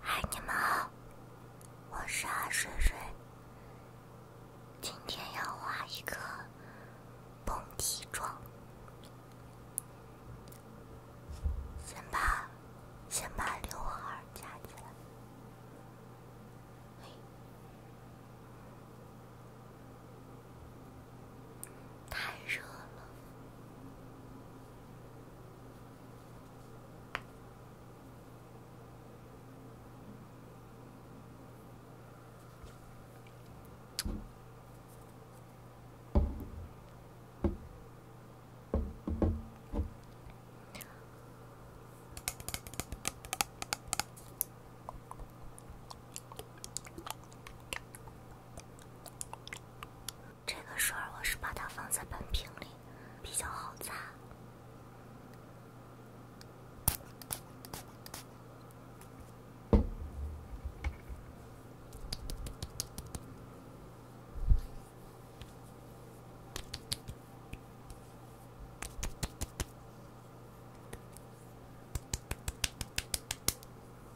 嗨，你们好，我是阿水水，今天要画一个蹦迪妆，先把先把刘海夹起来。太热了。这个水儿我是把它放在喷瓶里，比较好擦。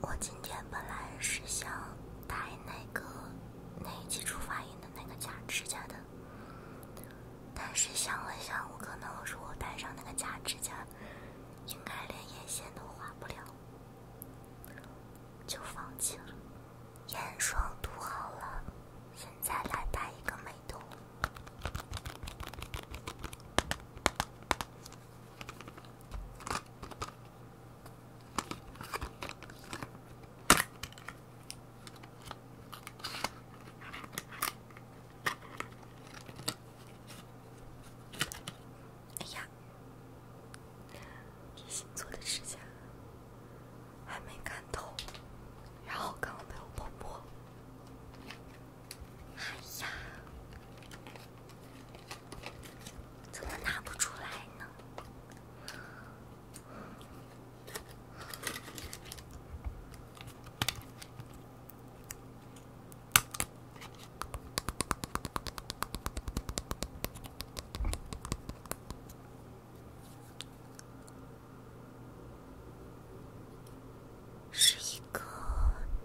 我今天本来是想戴那个那基础发音的那个假指甲的，但是想了想，我可能如果戴上那个假指甲，应该连眼线都画不了，就放弃了。眼霜涂好了，现在来戴一个美瞳。哎呀，新做的指甲还没看透，然后刚刚被我剥剥。哎呀！怎么拿不出来呢？是一个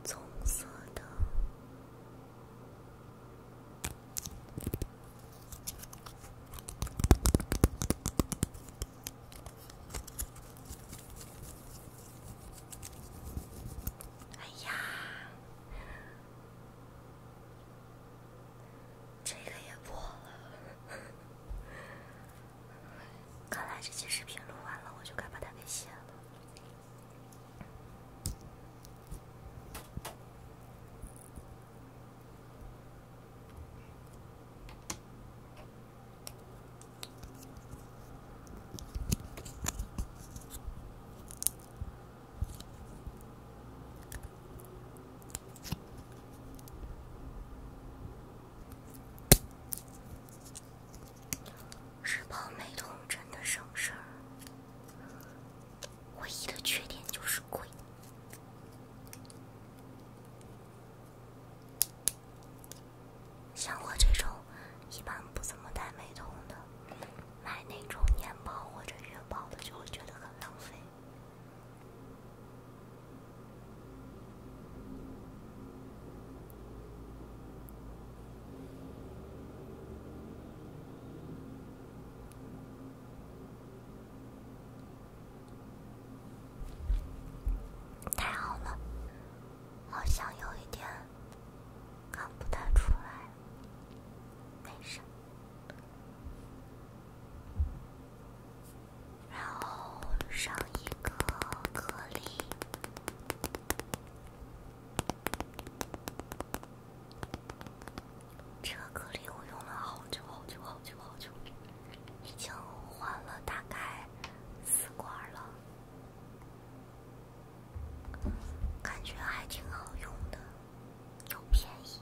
棕色的。哎呀，这个也破了。看来这期视频录完了，我就该把它给卸了。是泡美瞳真的省事儿。唯一的缺点就是贵。像我这种一般不怎么戴美瞳的，买那种年包或者月包的，就会觉得很浪费。太好了，好像有一点看不太出来，没事。然后上一个颗粒。这个隔离我用了好久好久好久好久，已经换了大概四管了，感觉还挺好用的，又便宜。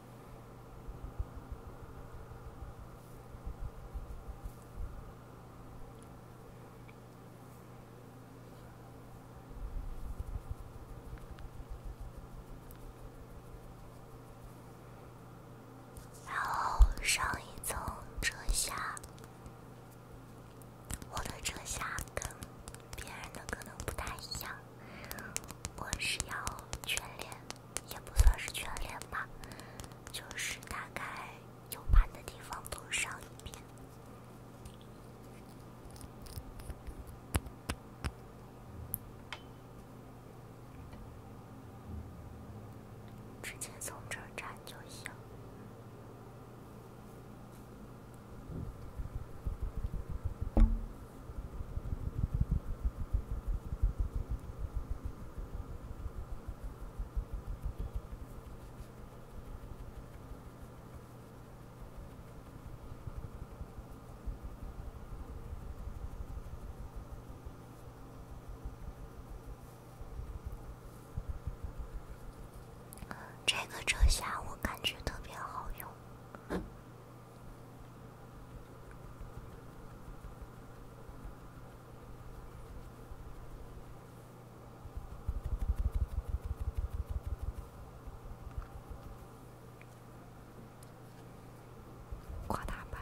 然后上一层遮瑕，我的遮瑕跟别人的可能不太一样，我是要全脸。也不算是全脸吧，就是大概有盘的地方都上一遍，直接从这儿粘就行。这个遮瑕我感觉特别好用。夸大版。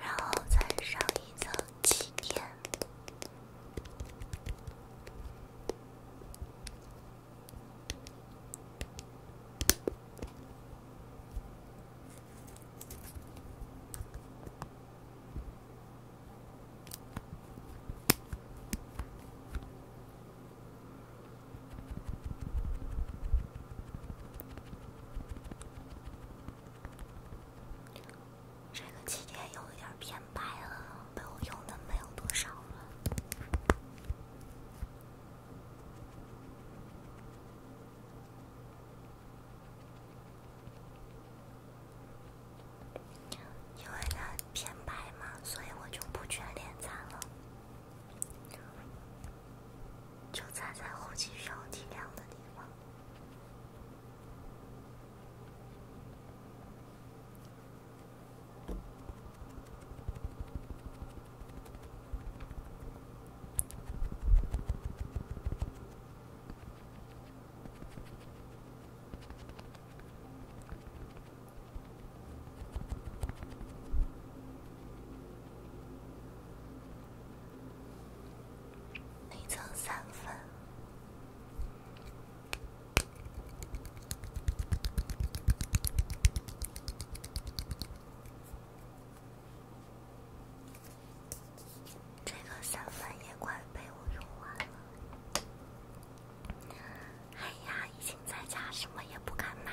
然后再上一层气垫。这个气垫有一点偏白了，被我用的没有多少了。因为它偏白嘛，所以我就不全脸擦了，就擦在后期需要提亮的地方。内脏三分。这个散粉也快被我用完了，哎呀，已经在家什么也不敢买。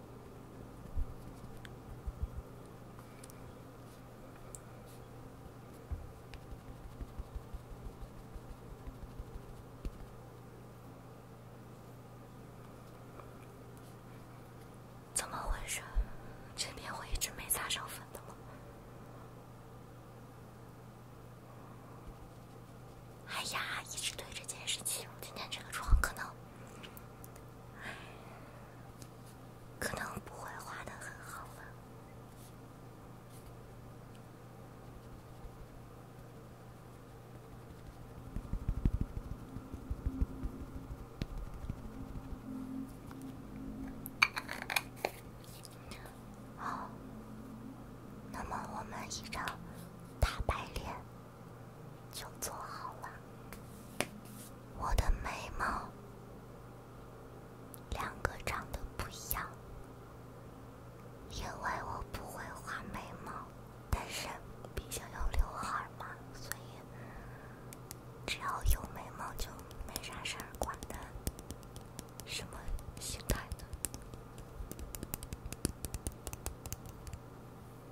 怎么回事？这边会一直没擦上粉的吗？哎呀，一直对着件事器，我今天这个妆可能，可能不会画的很好了。好，那么我们一张大白脸。就做好了。我的眉毛两个长得不一样，因为我不会画眉毛，但是毕竟有刘海嘛，所以只要有眉毛就没啥事儿管的，什么心态的。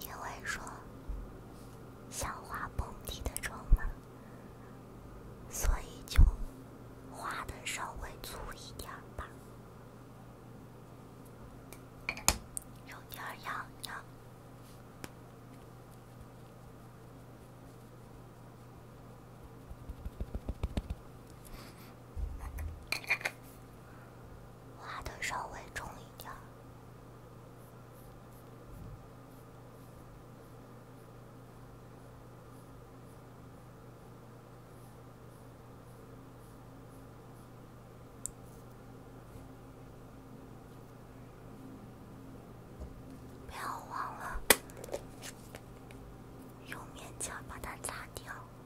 因为说想画蓬迪的妆嘛，所以就画的稍微粗一点吧，有点痒痒。画的稍微重一点，不要忘了用棉签把它擦掉。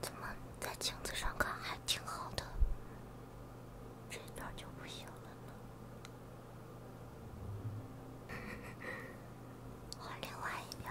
怎么在镜子上看还挺好的，这边就不行了呢？换另外一边。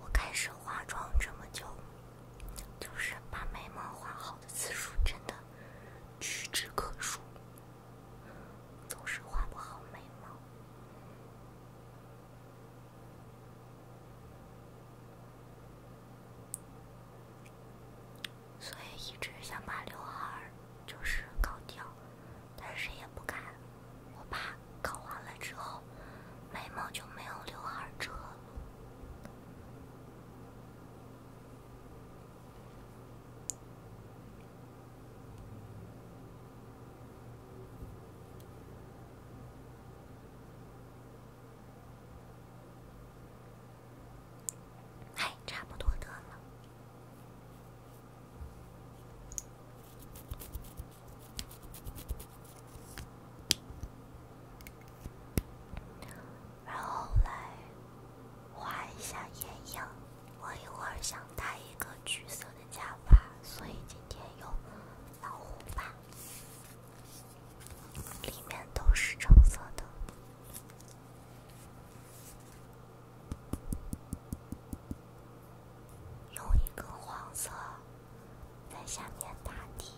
我开始化妆这么久，就是把眉毛画好的次数真的屈指可数，总是画不好眉毛，所以一直想把刘海就是搞掉，但谁也不敢。我怕搞完了之后眉毛就没有刘海遮了。哎，差不多得了。然后来画一下眼影。我一会儿想戴一个橘色的假发，所以今天用老虎发，里面都是橙色的。用一根黄色在下面打底。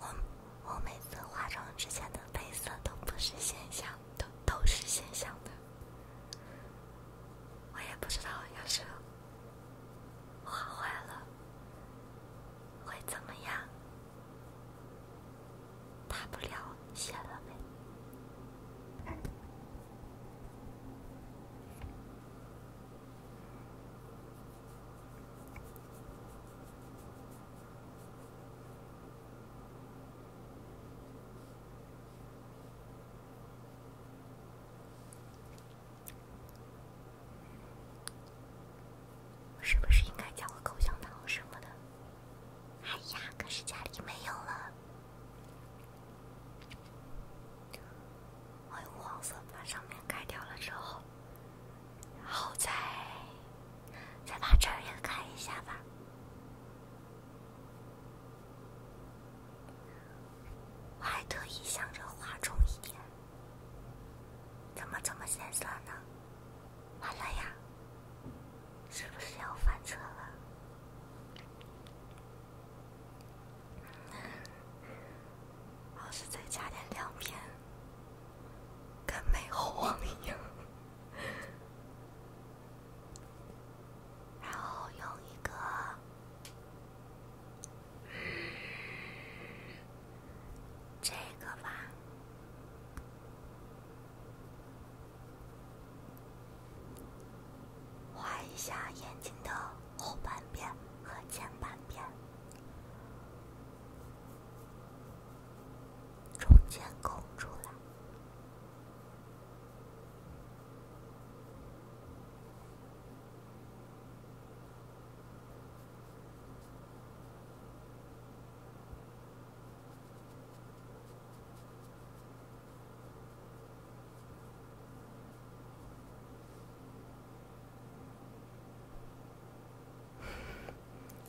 我我每次化妆之前的底色都不是现想的，都是现想的。我也不知道要是画坏了会怎么样，大不了卸了呗。是不是应该嚼个口香糖什么的？哎呀，可是家里没有了。我用黄色把上面盖掉了之后，好在。再把这儿也改一下吧，我还特意想着画重一点，怎么这么显色呢？完了呀，是不是要翻车了？要是再加点亮片，跟美猴王一样。然后用一个这个吧，画一下眼睛的后半边和前半边。中间空出来。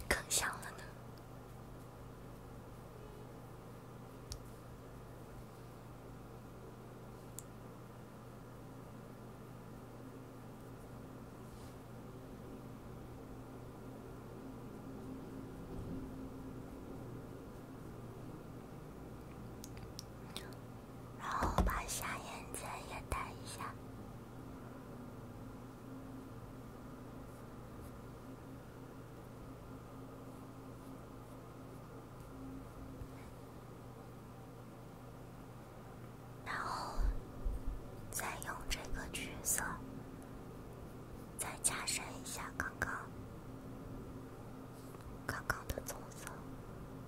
更像了呢。然后把下眼睑也带一下。然后再用这个橘色，再加深一下刚刚、刚刚的棕色。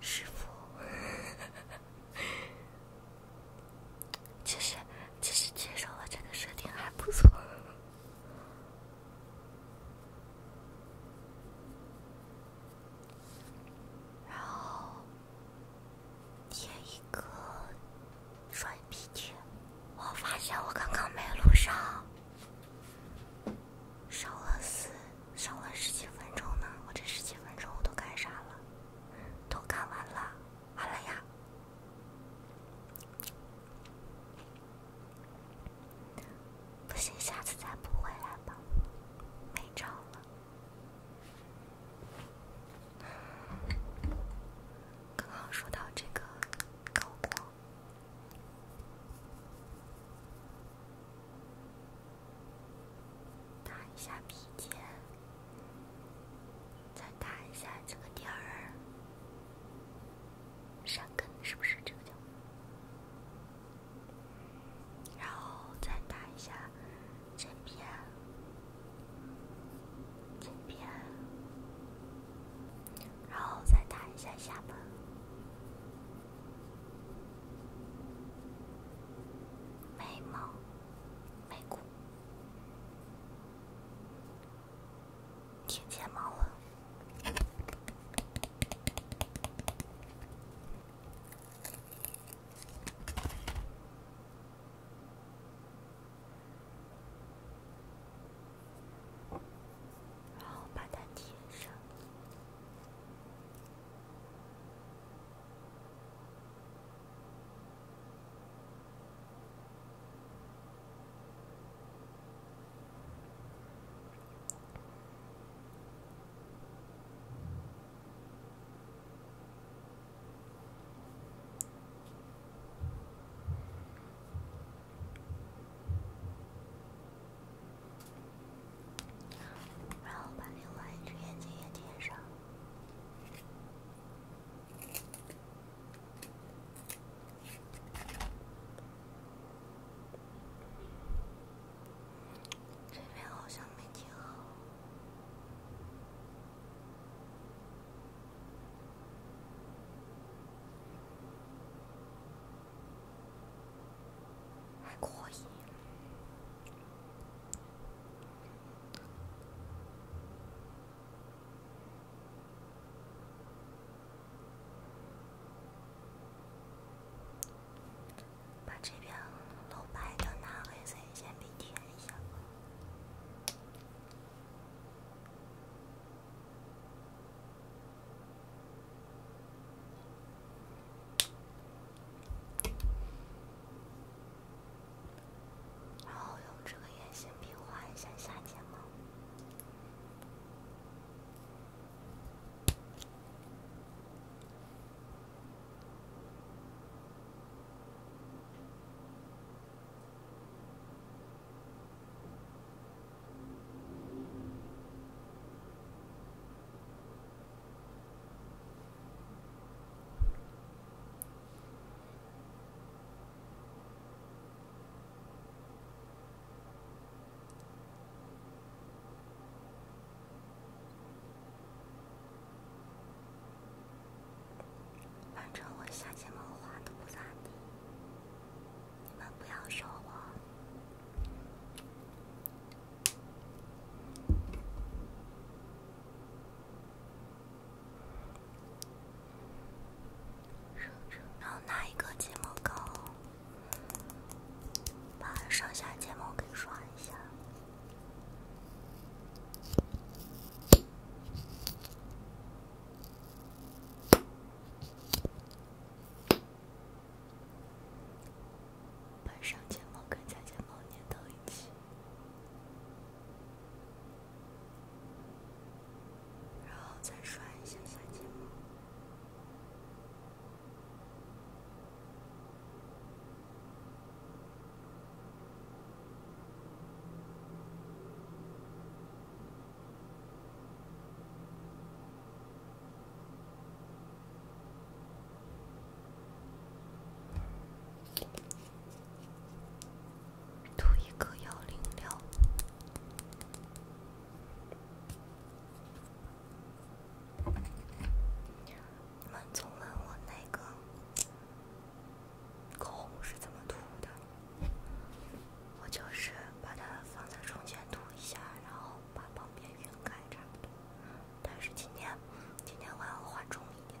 师傅。其实，其实接受了这个设定还不错。然后贴一个双眼皮贴。我发现我刚刚没录上，烧了四，十几分钟呢。我这十几分钟我都干啥了？都干完了，好了呀。不行，下次再补回来吧。没照了。刚刚说到这个高光，打一下鼻尖。再打一下这个点儿，山根是不是这个角？然后再打一下这边，这边，然后再打一下下巴，眉毛、眉骨。贴睫毛了，然后把它贴上。然后把另外一只眼睛也贴上。这边好像没接好，还可以。把这边漏白的拿黑色铅笔填一下。然后用这个眼线笔画一下下睫毛。反正我下睫毛画的不咋地，你们不要学我。然后拿一个睫毛膏，把上下睫毛给刷一下，把上睫毛跟下睫毛粘到一起。然后再刷一下三金膜。涂一个幺零六。你们总问我那个口红是怎么涂的，我就是把它放在中间涂一下，然后把旁边晕开，差不多。但是今天，今天我要画重一点。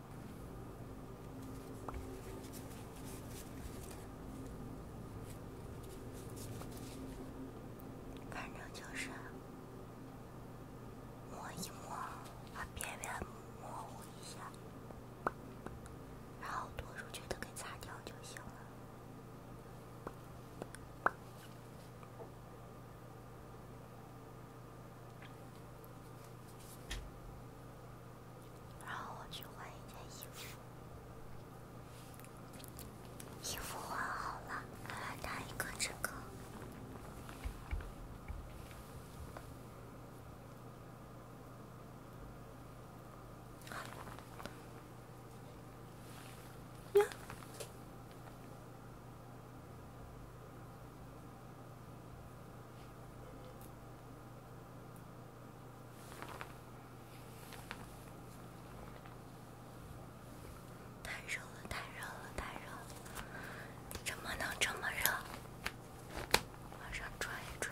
反正就是摸一摸，把边边模糊一下，然后多数觉得给擦掉就行了。然后我去换一件衣服，衣服换好了，来戴一个这个。呀！太热了，太热了，太热了！怎么能这么热？往上拽一拽，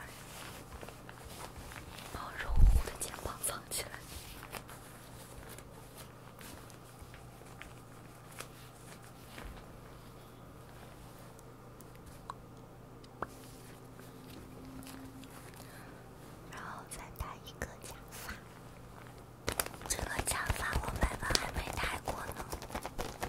把我热乎乎的肩膀藏起来。然后再戴一个假发，这个假发我爸爸还没戴过呢。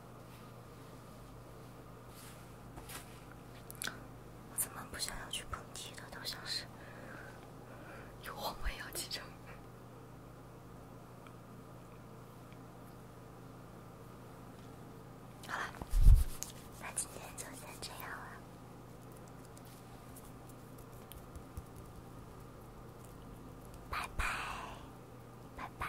我怎么不想要去碰？踢的都像是有黄牌要记着。好了，那今天就先这样了，拜拜，拜拜。